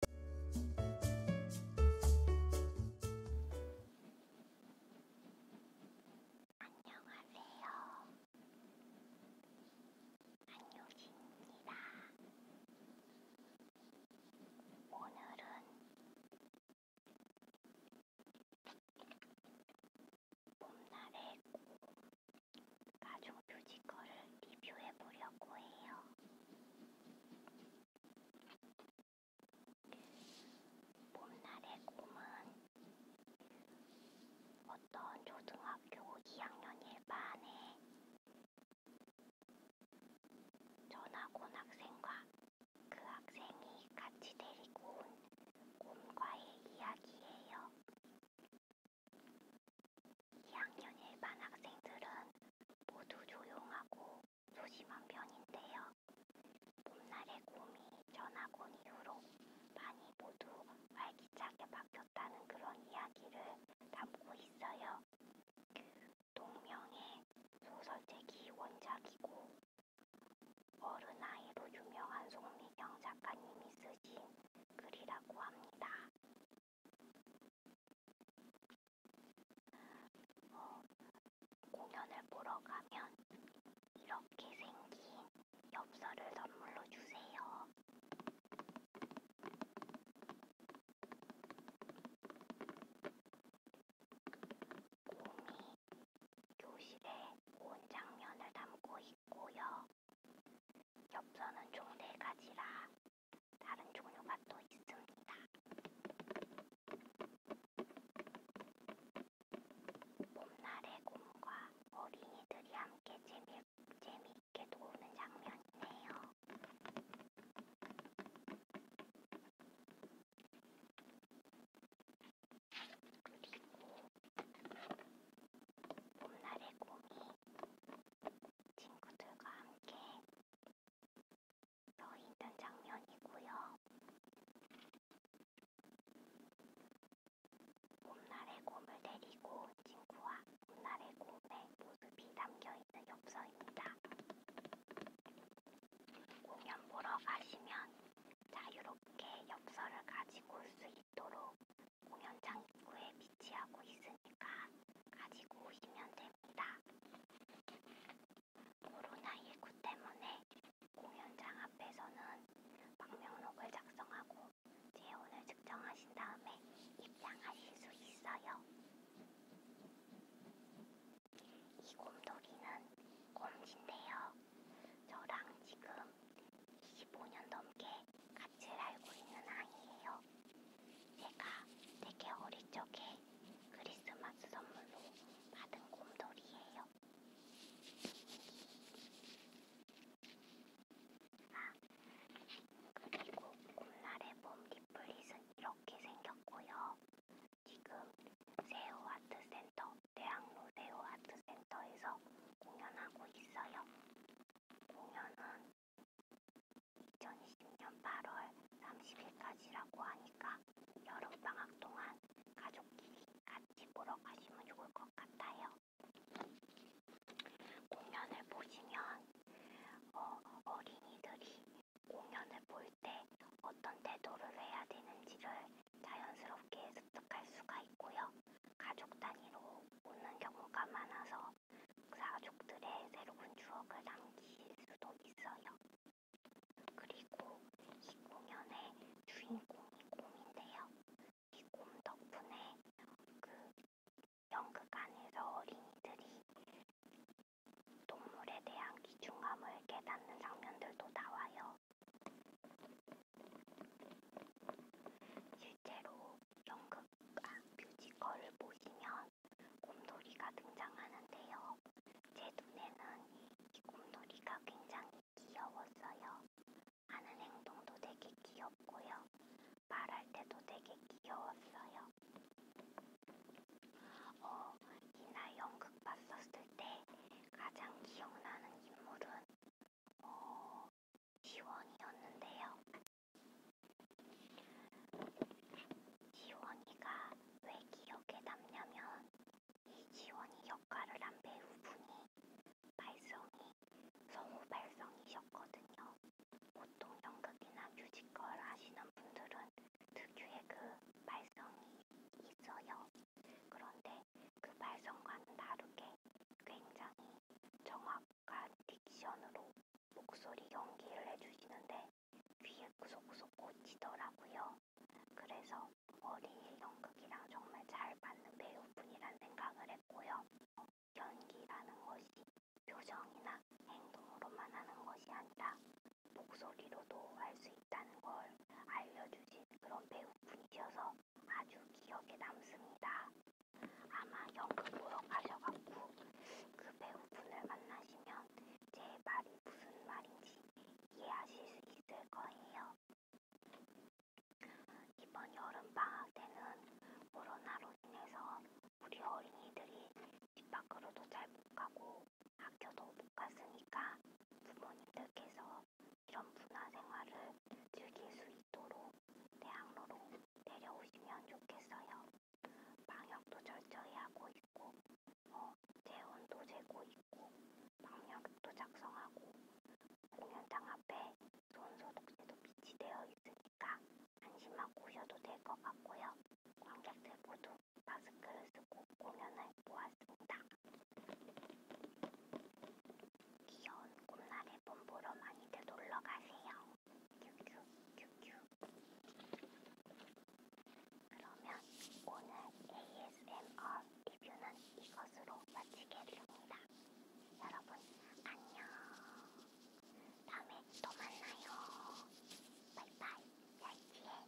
안녕하세요. 안녕입니다. 오늘은 봄날의 가족 뮤지컬을 리뷰해 보려고 해요. 봄날의 꿈은 어떤 초등학교 2학년 1반에 전학 온 학생과 그 학생이 같이 데리고 온 곰과의 이야기예요. 2학년 1반 학생들은 모두 조용하고 소심한 편인데요. 봄날의 곰이 전학온 이후로 많이 모두 활기차게 바뀌었다는 그런 이야기를 담고 있어요. 동명의 소설책이 원작이고 어른아이로 유명한 송미경 작가님이 쓰신 글이라고 합니다. 어, 공연을 보러 가면 이렇게 생긴 엽서를 선물로 주세요. 곰이 교실에 온 장면을 담고 있고요. 엽서는 총세 가지라 다른 종류가 또 있습니다. 봄날의 곰과 어린이들이 함께 재미, 재미있게 노는 장면이네요. 그리고 봄날의 곰이 친구들과 함께 떠 있는 장면이고요. 봄날의 곰을 데리고 온 친구와 봄날의 곰의 모습이 담겨있는 엽서입니다. 공연 보러 가시면 자유롭게 엽서를 가지고 올 수 있도록 공연장 입구에 비치하고 있으니까 가지고 오시면 됩니다. 있습니다. 코로나19 때문에 공연장 앞에서는 방명록을 작성하고 재원을 측정하신 다음에 입장하실 수 있어요. 이 곰돌이는 곰진데요. 저랑 지금 25년 넘게 같이 살고 있는 아이예요. 제가 되게 어릴 적에 크리스마스 선물로 받은 곰돌이에요. 아, 그리고 곰날의 몸 디플릿은 이렇게 생겼고요. 지금 세오 아트센터, 대학로 세오 아트센터에서 공연하고 있어요. 공연은 2020년 8월 30일까지라고 하니까 여름방학 동안 가족끼리 같이 보러 가시면 좋을 것 같아요. 공연을 보시면 어, 어린이들이 공연을 볼 때 어떤 태도를 해야 되는지를 자연스럽게 습득할 수가 있고요. 가족 단위로 오는 경우가 많아서 가족들의 새로운 추억을 남길 수도 있어요. 그리고 이 공연의 주인공이 곰인데요. 이 곰 덕분에 그 연극 안에서 어린이들이 동물에 대한 귀중함을 깨닫는 장면들도 나와요. 실제로 연극 아, 뮤지컬을 보시면 곰돌이가 등장하는데요. 제 눈에는 이 곰돌이가 굉장히 귀여웠어요. 하는 행동도 되게 귀엽고요. 말할 때도 되게 귀여웠어요. 어, 이날 연극 봤었을 때 가장 기억나는 인물은 어, 지원이었는데요. 지원이가 왜 기억에 남냐면 이 지원이 역할을 한 배우분이 발성이 성우 발성이셨거든요. 보통 연극이나 뮤지컬 하시는 분들은 특유의 그 발성이 있어요. 그런데 그 발성과는 다르게 굉장히 정확한 딕션으로 목소리 연기를 해주시는데 귀에 구석구석 꽂히더라고요. 그래서 머리에 연극이랑 정말 잘 맞는 배우분이란 생각을 했고요. 연기라는 것이 표정이나 행동으로만 하는 것이 아니라 목소리로도 할 수 있다는 걸 알려주신 그런 배우분이셔서 아주 기억에 남습니다. 아마 연극 보러 가셔갖고 그 배우분을 만나시면 제 말이 무슨 말인지 이해하실 수 있을 거예요. 이번 여름 방학 때는 코로나로 인해서 우리 어린이들이 집 밖으로도 잘 못 가고 학교도 못 갔으니까 부모님들께서 이런 문화 생활을 즐길 수 있도록 대학로로 내려오시면 좋겠어요. 방역도 철저히 하고 있고, 어, 재원도 재고 있고, 방역도 작성하고, 공연장 앞에 손소독제도 비치되어 있으니까 안심하고 오셔도 될 것 같고요. 관객들 모두 마스크를 쓰고 공연을 보았습니다. 귀여운 꽃날에 봄보러 많이들 놀러 가세요. 큐큐큐큐 그러면 오늘 ASMR 리뷰는 이것으로 마치겠습니다. 여러분 안녕 다음에 또 만나요. 바이바이 얄치에